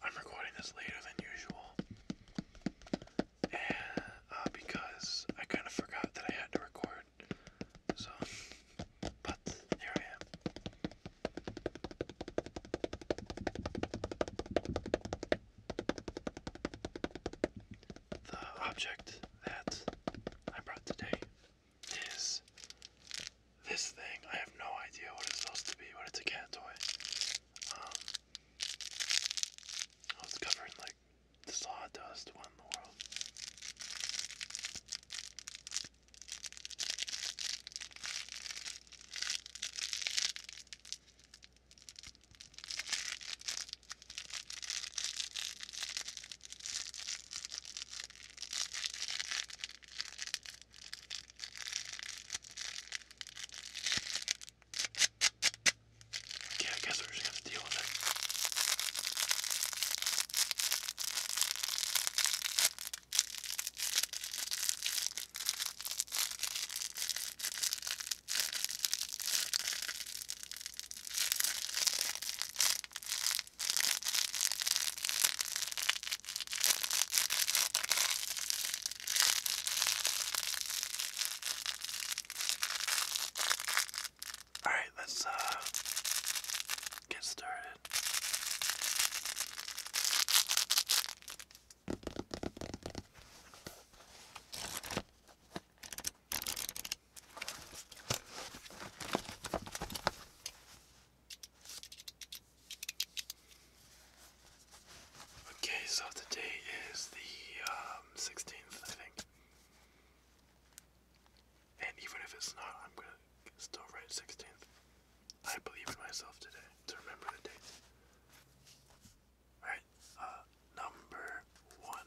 I'm recording this later than usual, uh, because I kind of forgot that I had to record, so but here I am. The object that I brought today is this thing. I have no idea what it's supposed to be, but it's a cat toy. Um, oh, it's covered like sawdust. What in the world? Yeah, I guess we're just gonna deal with it. All right, let's uh, get started. Okay, so today is the 16th, um, I think. And even if it's not, I'm gonna still write 16th. I believe in myself today to remember the date. Alright, uh, number one.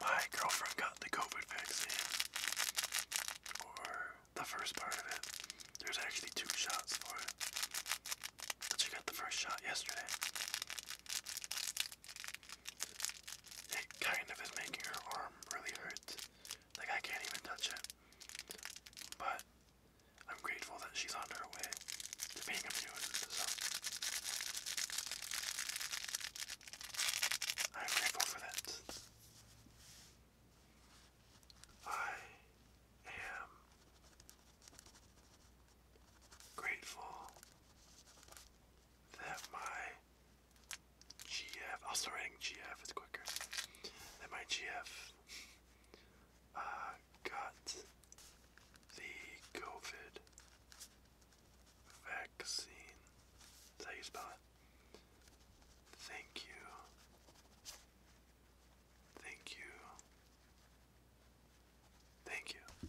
my girlfriend got the COVID vaccine, or the first part of it. There's actually two shots for it, but she got the first shot yesterday. It kind of is making her arm really hurt. Like, I can't even touch it. But I'm grateful that she's on her way to being able so I'm grateful for that. I am grateful that my GF, I'll start writing GF, it's quicker, that my GF uh, got the COVID Vaccine. how you spell it? Thank you. Thank you. Thank you.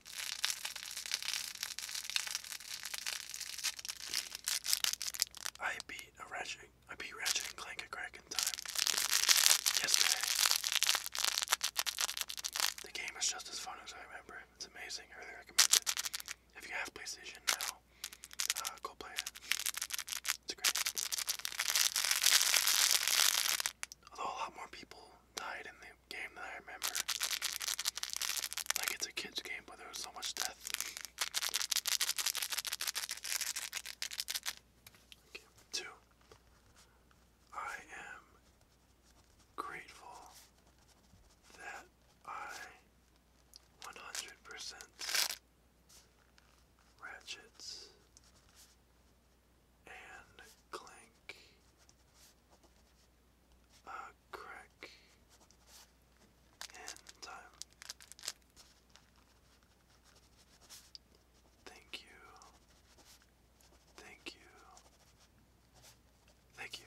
I beat a Ratchet. I beat Ratchet Clank a crack in time yesterday. The game is just as fun as I remember. It's amazing. I really recommend it. If you have PlayStation now, uh, go play it. It's great. Although a lot more people died in the game that I remember. Like it's a kids game, but there was so much death. Two. I am grateful that I 100% ratchets and clank uh, crack and time. Um, thank you. Thank you. Thank you.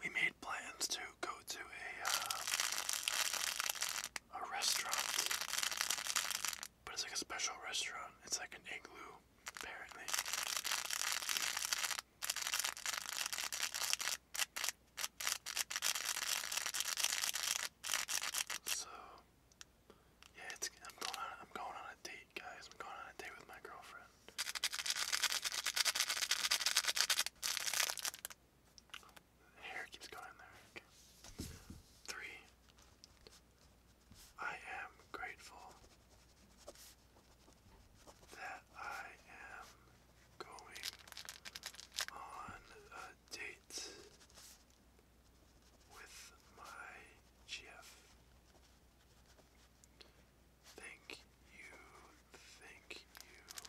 We made plans to go to a uh, a restaurant, but it's like a special restaurant. It's like an igloo, apparently. So yeah, it's I'm going on I'm going on a date, guys. I'm going on a date with my girlfriend hair keeps going there. Three. I am grateful that I am going on a date with my GF. Thank you, thank you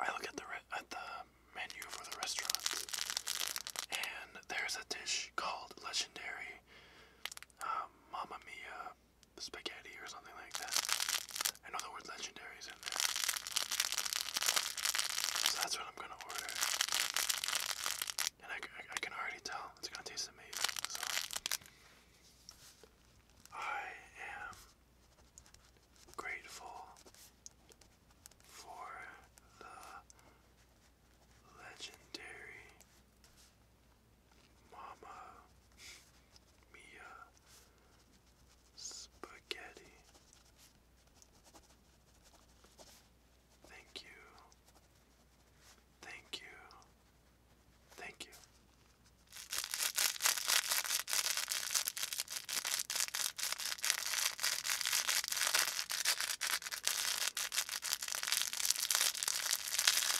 I look at the at the menu for the restaurant, and there's a dish called legendary uh, Mia spaghetti or something like that. I know the word legendary is in there. So that's what I'm gonna order. And I, can already tell it's gonna taste amazing. So I am grateful for the legendary Mama Mia Spaghetti. Thank you. Thank you. Thank you.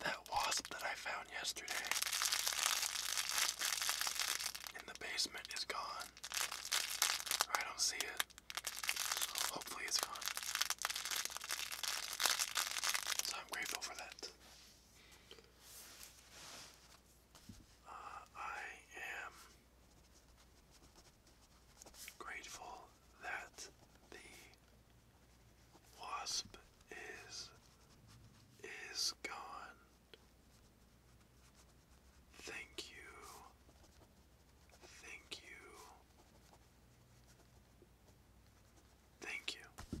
that wasp that I found yesterday in the basement is gone. I don't see it. hopefully it's gone. So I'm grateful for that. Uh, I am grateful that the Wasp is is gone. Thank you. Thank you. Thank you.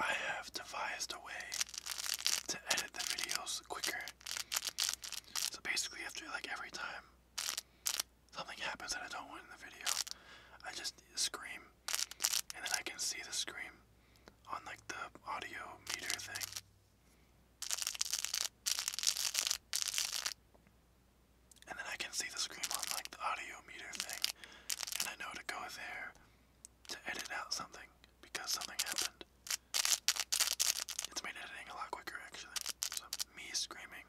I have devised a way to edit the videos quicker. So basically, after like every time something happens that I don't want in the video, I just scream and then I can see the scream on like the audio meter thing. And then I can see the scream on like the audio meter thing. And I know to go there to edit out something because something happened. It's made editing a lot quicker actually. So me screaming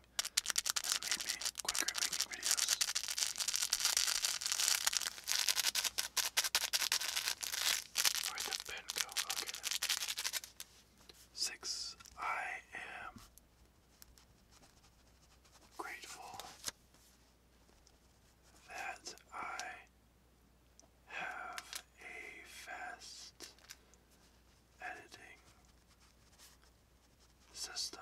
has made me quicker at making I am grateful that I have a fast editing system.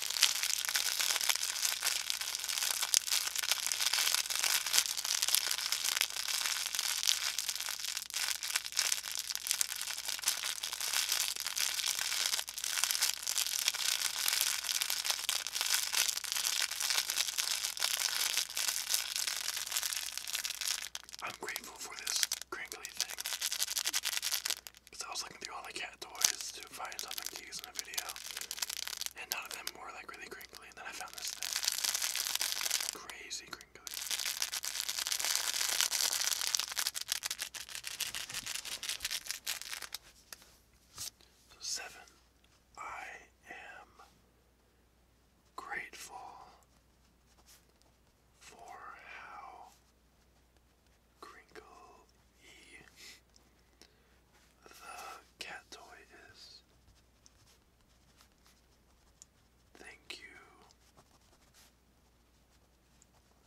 I'm grateful for this crinkly thing. Because I was looking through all the cat toys to find something to use in a video. And none of them were like really crinkly. And then I found this thing. Crazy crinkly. seven. I am grateful for how Crinkle The cat toy is. Thank you.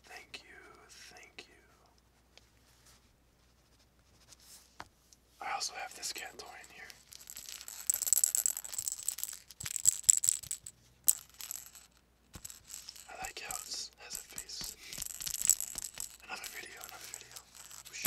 Thank you. Thank you. I also have this cat toy in here. I like how it has a face. Another video, another video. Whoosh.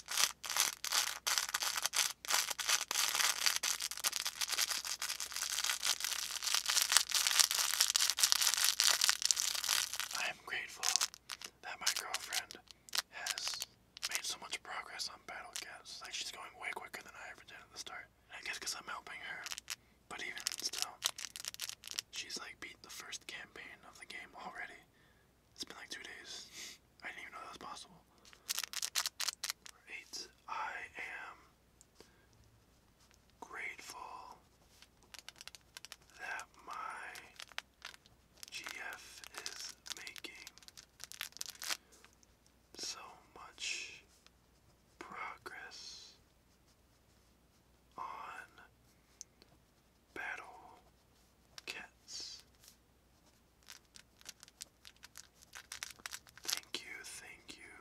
I am grateful that my girlfriend has made so much progress on Battle Cats. Like she's going way quicker than I ever did at the start. I guess because I'm helping her. But even still, she's like beat the first campaign of the game already. It's been like two days. I didn't even know that was possible. Eight. I am grateful that my GF is making so much progress on battle cats. Thank you, thank you,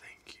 thank you.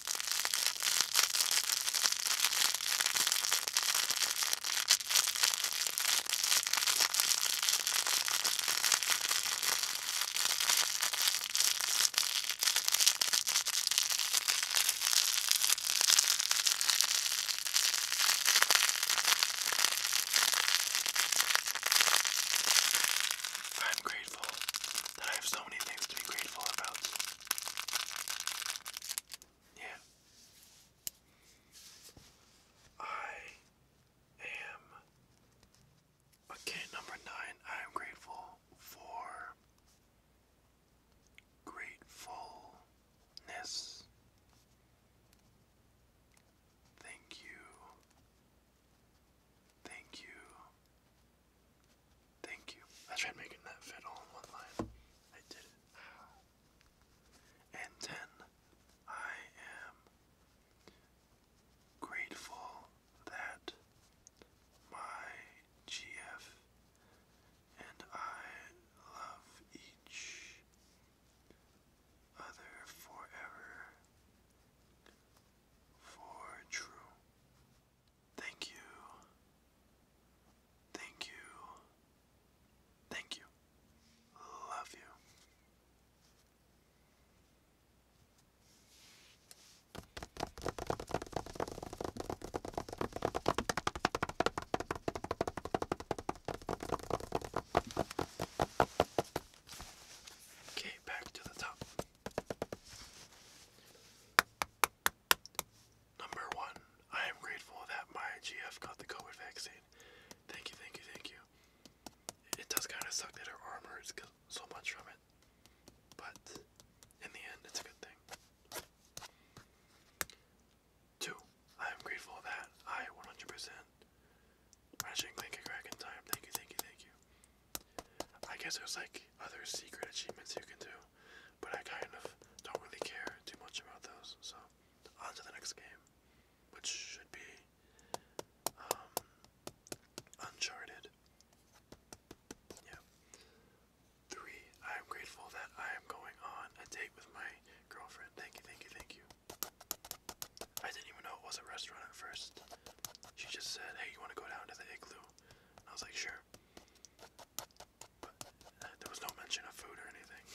I'm grateful that I have so many things to be grateful about. Yeah. I am okay. Number nine. I am grateful for gratefulness. Thank you. Thank you. Thank you. I tried making that fit all in one line. I did it. And then I am grateful that my GF and I love each other forever for true Thank you. Thank you. Thank you. Love you. Okay, back to the top. Number one, I am grateful that my GF got the COVID vaccine. Thank you, thank you, thank you. It does kind of suck that her arm hurts so much from it, but in the end, it's a good thing. Two, I am grateful that I 100% matching Link and Crack in time. Thank you, thank you, thank you. I guess there's like other secret achievements you can do but I kind of don't really care too much about those. So on to the next game, which should be um, Uncharted. Yeah. Three. I am grateful that I am going on a date with my girlfriend. Thank you, thank you, thank you. I didn't even know it was a restaurant at first. She just said, "Hey, you want to go down to the igloo?" I was like, "Sure." Uh, there was no mention of food or anything.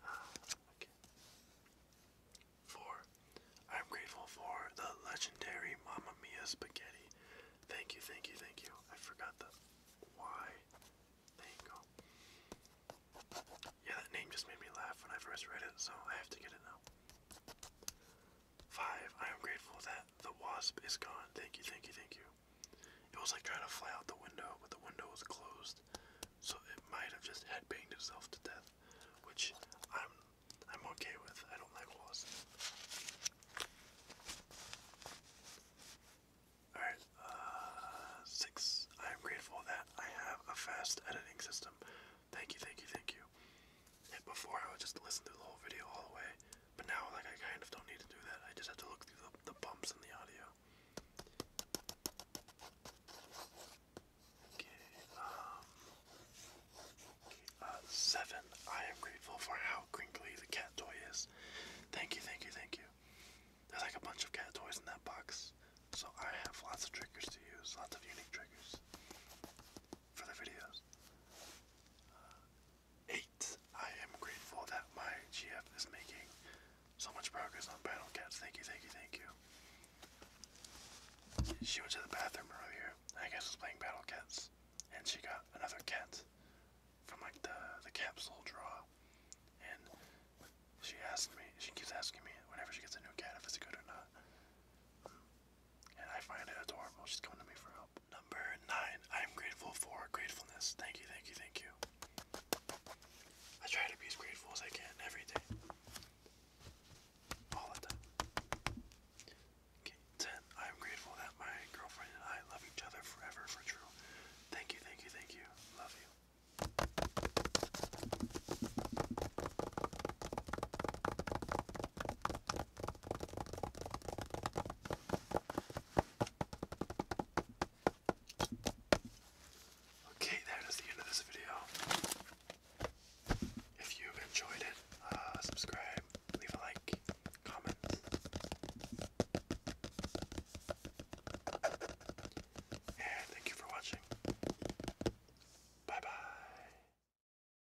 Ah, i I'm grateful for the legendary Mamma Mia spaghetti. Thank you, thank you, thank you. I forgot the why. There you go. Yeah, that name just made me laugh when I first read it, so I have to get it now. Five, I am grateful that the wasp is gone. Thank you, thank you, thank you. It was like trying to fly out the window, but the window was closed. So it might have just head banged itself to death. Which I'm I'm okay with. I don't like wasps. Alright, uh, six. I am grateful that I have a fast editing system. Thank you, thank you, thank you. Before I would just listen through the whole video all the way, but now like I kind of don't need to do that. I just have to look through the, bumps in the audio. Okay, um, uh, seven. I am grateful for how crinkly the cat toy is. Thank you, thank you, thank you. There's like a bunch of cat toys in that box, so I have lots of triggers to use, lots of unique triggers for the videos. Uh, eight. I am grateful that my GF is making so much progress on Battle Cats. Thank you, thank you, thank you. She went to the bathroom earlier. I guess was playing Battle Cats, and she got another cat from like the the capsule draw. And she asked me. She keeps asking me whenever she gets a new cat if it's good or not. And I find it adorable. She's coming to me for help. Number nine, I am grateful for gratefulness. Thank you, thank you, thank you. I try to be as grateful as I can every day. All the time. Okay, ten, I am grateful that my girlfriend and I love each other forever for true. Thank you, thank you, thank you. Love you. Okay, that is the end of this video. If you enjoyed it, uh, subscribe, leave a like, comment. And thank you for watching. Bye bye.